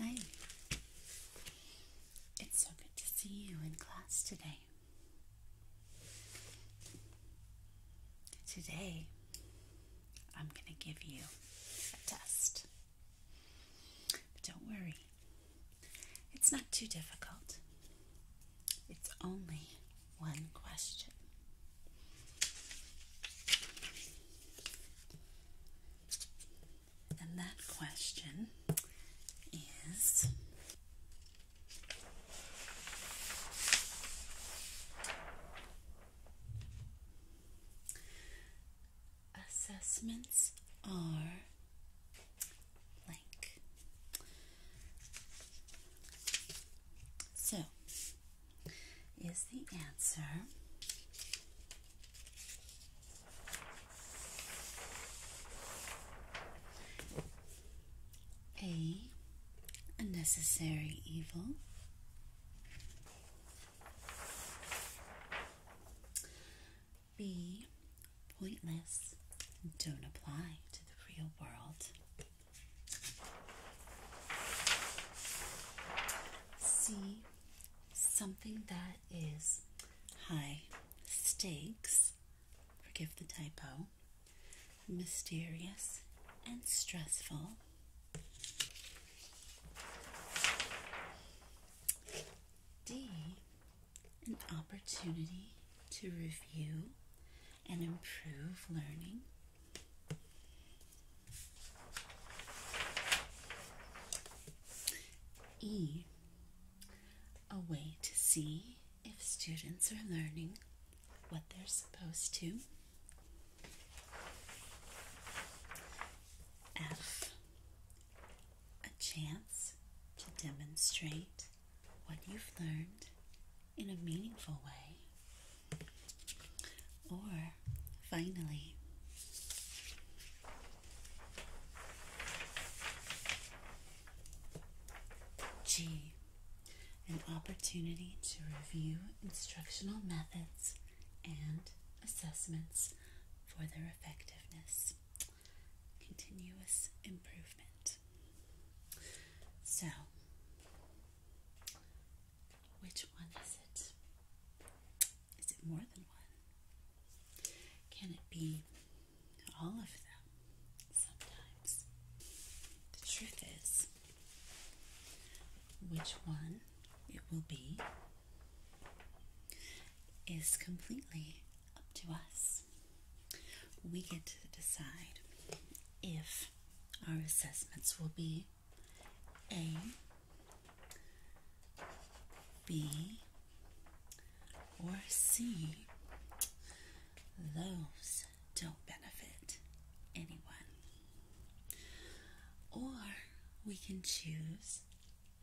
Hi. It's so good to see you in class today. Today, I'm going to give you a test. But don't worry, it's not too difficult. It's only one question. And that question is assessments are so, is the answer A, unnecessary evil? B, pointless, and don't apply to the real world. See something that is high stakes, forgive the typo, mysterious, and stressful. D, an opportunity to review and improve learning. E. A way to see if students are learning what they're supposed to. F. A chance to demonstrate what you've learned in a meaningful way. Or finally, G, an opportunity to review instructional methods and assessments for their effectiveness. Continuous improvement. So, which one is it? Is it more than one? Can it be all of them sometimes? The truth is, which one it will be is completely up to us we get to decide if our assessments will be A, B, or C. Those don't benefit anyone. Or we can choose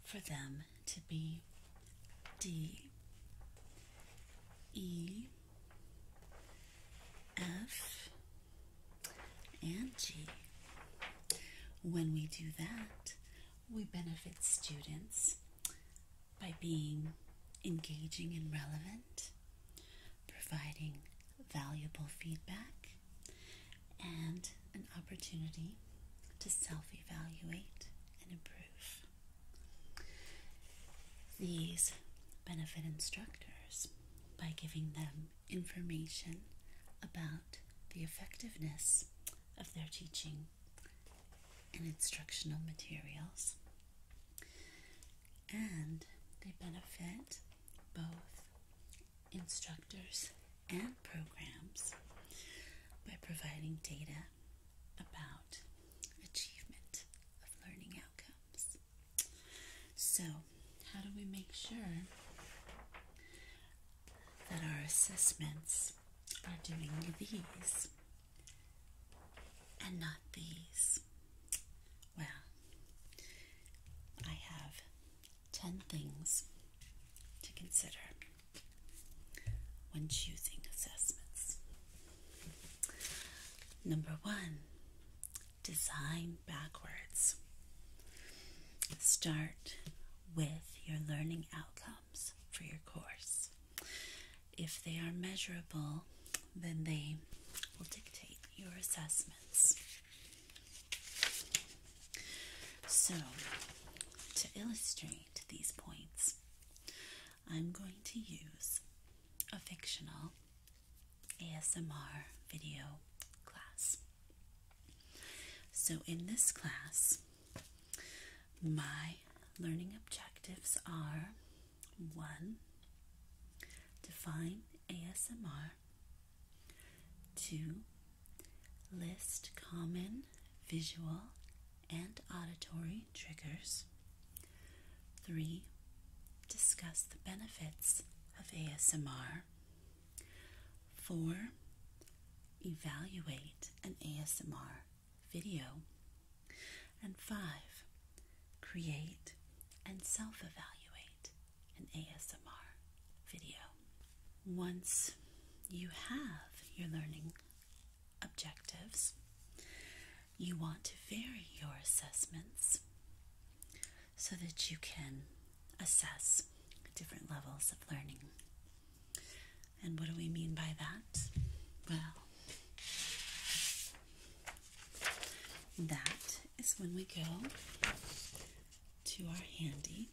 for them to be D, E, F, and G. When we do that, we benefit students by being engaging and relevant, providing valuable feedback, and an opportunity to self evaluate and improve. These benefit instructors by giving them information about the effectiveness of their teaching and instructional materials, and they benefit both instructors and programs by providing data about achievement of learning outcomes. So, how do we make sure that our assessments are doing these and not these? Well, I have 10 things to consider when choosing assessments. Number one, design backwards. Start with your learning outcomes for your course. If they are measurable, then they will dictate your assessments. So, to illustrate these points, I'm going to use a fictional ASMR video class. So, in this class, my learning objectives are one, define ASMR, two, list common visual and auditory three triggers. Three, discuss the benefits of ASMR. Four, evaluate an ASMR video. And five, create and self evaluate an ASMR video. Once you have your learning objectives, you want to vary your assessments so that you can assess different levels of learning. And what do we mean by that? Well, that is when we go to our handy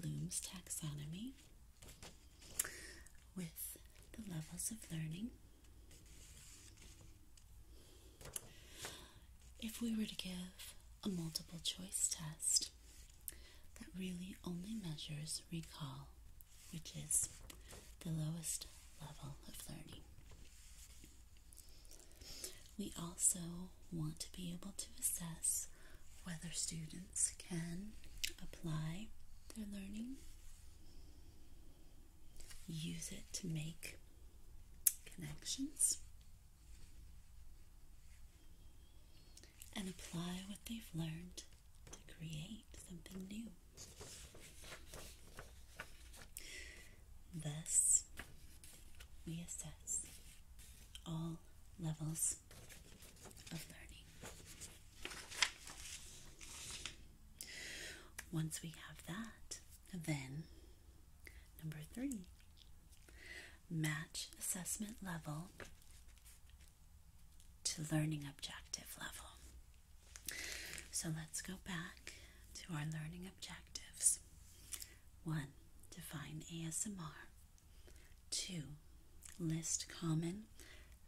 Bloom's taxonomy with the levels of learning if we were to give a multiple choice test that really only measures recall, which is the lowest level of learning, we also want to be able to assess whether students can apply their learning use it to make connections and apply what they've learned to create something new. Thus, we assess all levels of learning. Once we have that, then number three, match assessment level to learning objective level. So let's go back to our learning objectives. One, define ASMR. Two, list common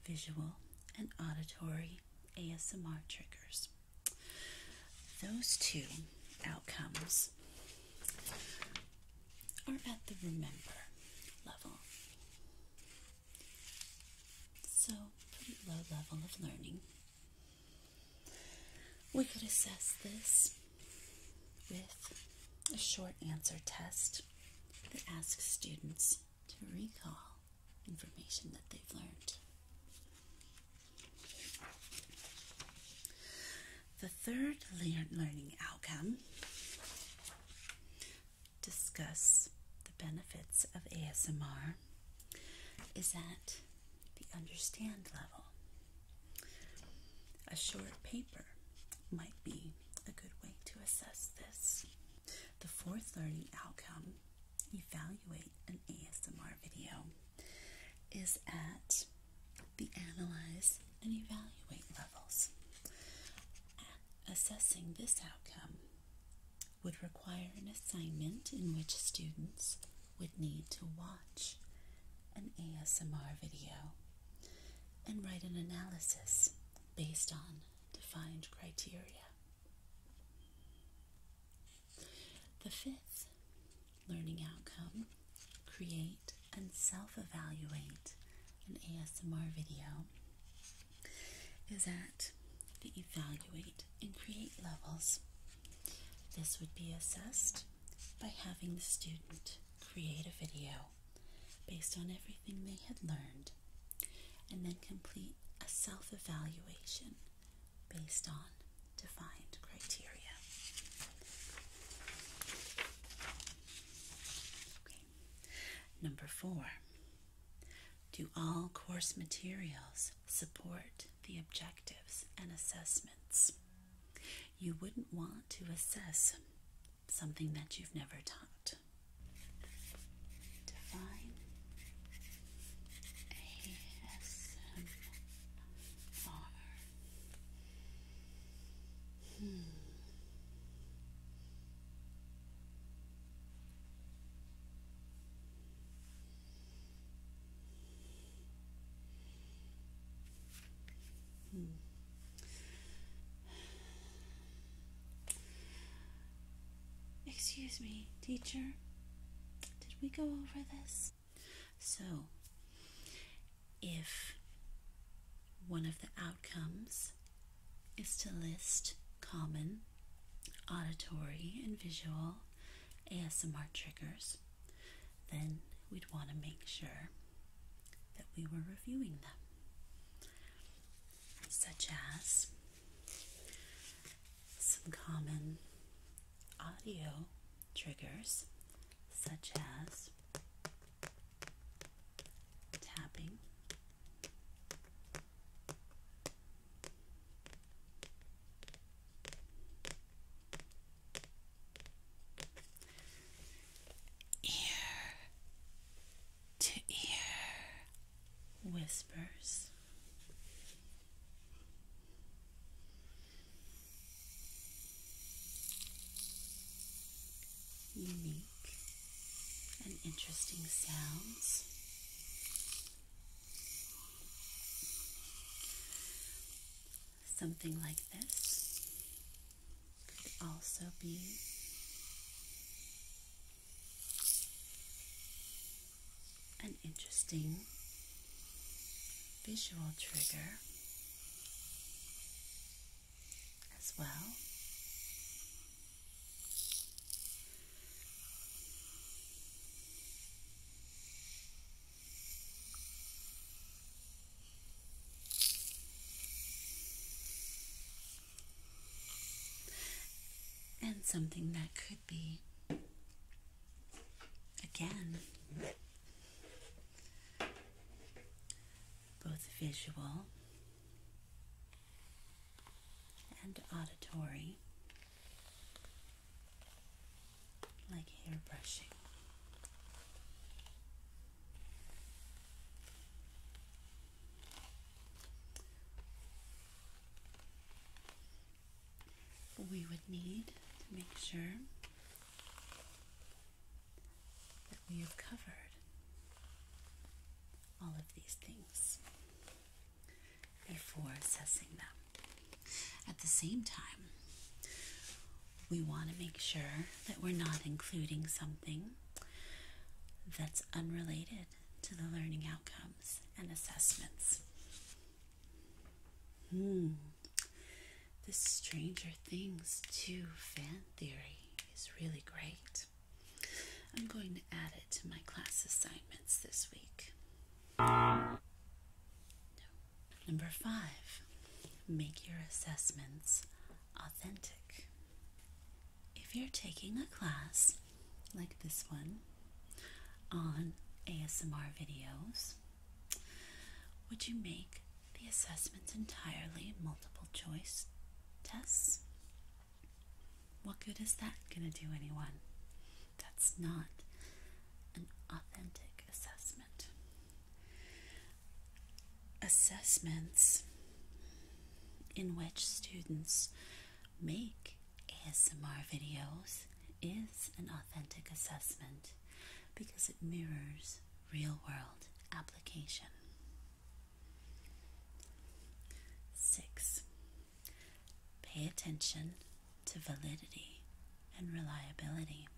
visual and auditory ASMR triggers. Those two outcomes are at the remember level. So, pretty low level of learning. We could assess this with a short answer test that asks students to recall information that they've learned. The third learning outcome discuss the benefits of ASMR is at the understand level. A short paper might be a good way to assess this. The fourth learning outcome evaluate an ASMR video is at the analyze and evaluate levels. Assessing this outcome would require an assignment in which students would need to watch an ASMR video and write an analysis based on defined criteria. The fifth learning outcome create and self evaluate an ASMR video is at the evaluate and create levels. This would be assessed by having the student create a video based on everything they had learned and then complete a self evaluation based on defined criteria. Number four, do all course materials support the objectives and assessments? You wouldn't want to assess something that you've never taught to ASMR. Hmm. Hmm. Excuse me, teacher. Did we go over this? So, if one of the outcomes is to list common auditory and visual ASMR triggers, then we'd want to make sure that we were reviewing them, such as some common audio triggers, such as tapping, ear to ear whispers. Unique and interesting sounds. Something like this could also be an interesting visual trigger as well. And something that could be Again, both visual and auditory, like hair brushing we would need to make sure that we have covered all of these things before assessing them. At the same time, we want to make sure that we're not including something that's unrelated to the learning outcomes and assessments. Hmm. the Stranger Things 2 fan theory is really great. I'm going to add it to my class assignments this week. Number five, make your assessments authentic. If you're taking a class like this one on ASMR videos, would you make the assessments entirely multiple choice tests? What good is that going to do anyone? That's not an authentic assessment. Assessments in which students make ASMR videos is an authentic assessment because it mirrors real world application. 6. Pay attention to validity and reliability.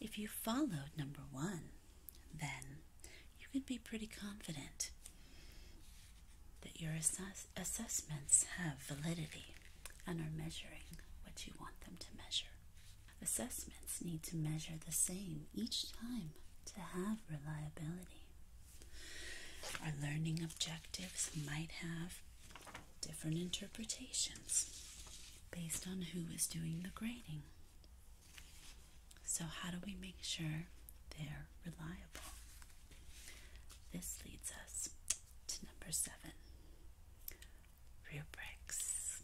If you followed number one, then you can be pretty confident that your assessments have validity and are measuring what you want them to measure. Assessments need to measure the same each time to have reliability. Our learning objectives might have different interpretations based on who is doing the grading. So, how do we make sure they're reliable? This leads us to number seven rubrics.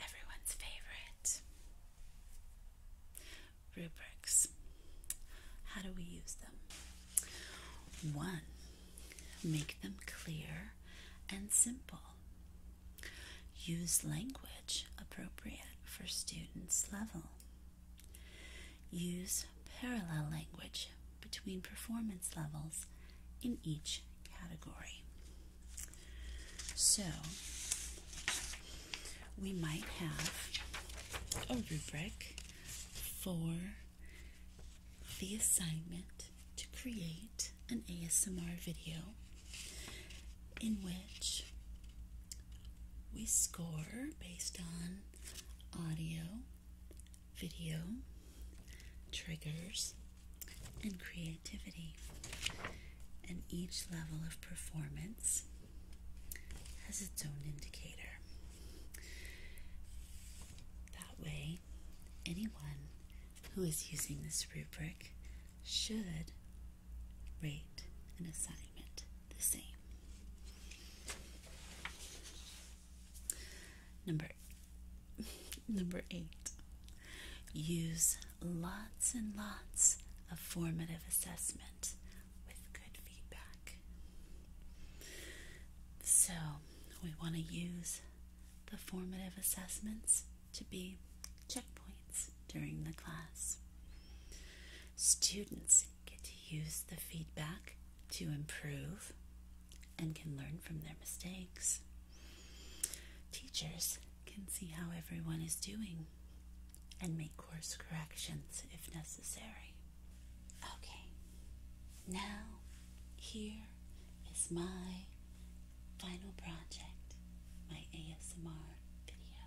Everyone's favorite rubrics. How do we use them? One, make them clear and simple. Use language appropriate for students' level. Use parallel language between performance levels in each category. So, we might have a rubric for the assignment to create an ASMR video in which we score based on audio, video, triggers, and creativity. And each level of performance has its own indicator. That way, anyone who is using this rubric should rate an assignment the same. Number number 8. Use lots and lots of formative assessment with good feedback. So, we want to use the formative assessments to be checkpoints during the class. Students get to use the feedback to improve and can learn from their mistakes. Teachers can see how everyone is doing and make course corrections if necessary. Okay, now here is my final project, my ASMR video.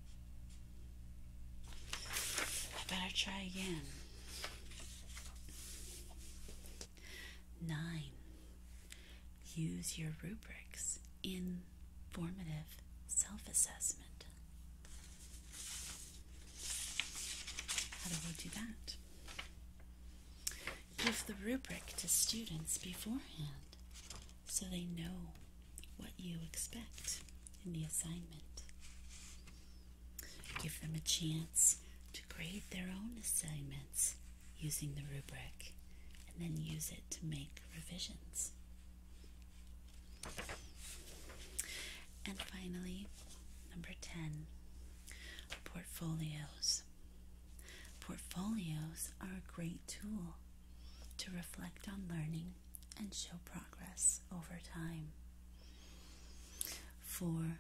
I better try again. Nine. Use your rubrics in formative self assessment. How do we do that? Give the rubric to students beforehand so they know what you expect in the assignment. Give them a chance to create their own assignments using the rubric and then use it to make revisions. And finally, number 10 portfolios. Portfolios are a great tool to reflect on learning and show progress over time. For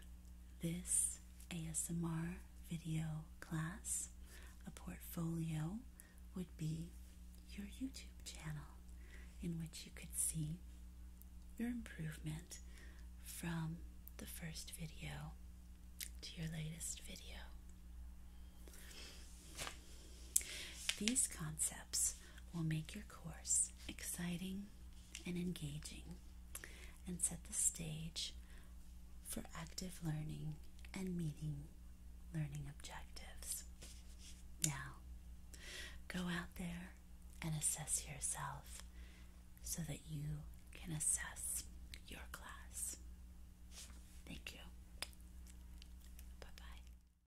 this ASMR video class, a portfolio would be your YouTube channel in which you could see your improvement from the first video to your latest video. These concepts will make your course exciting and engaging and set the stage for active learning and meeting learning objectives. Now, go out there and assess yourself so that you can assess your class. Thank you. Bye bye.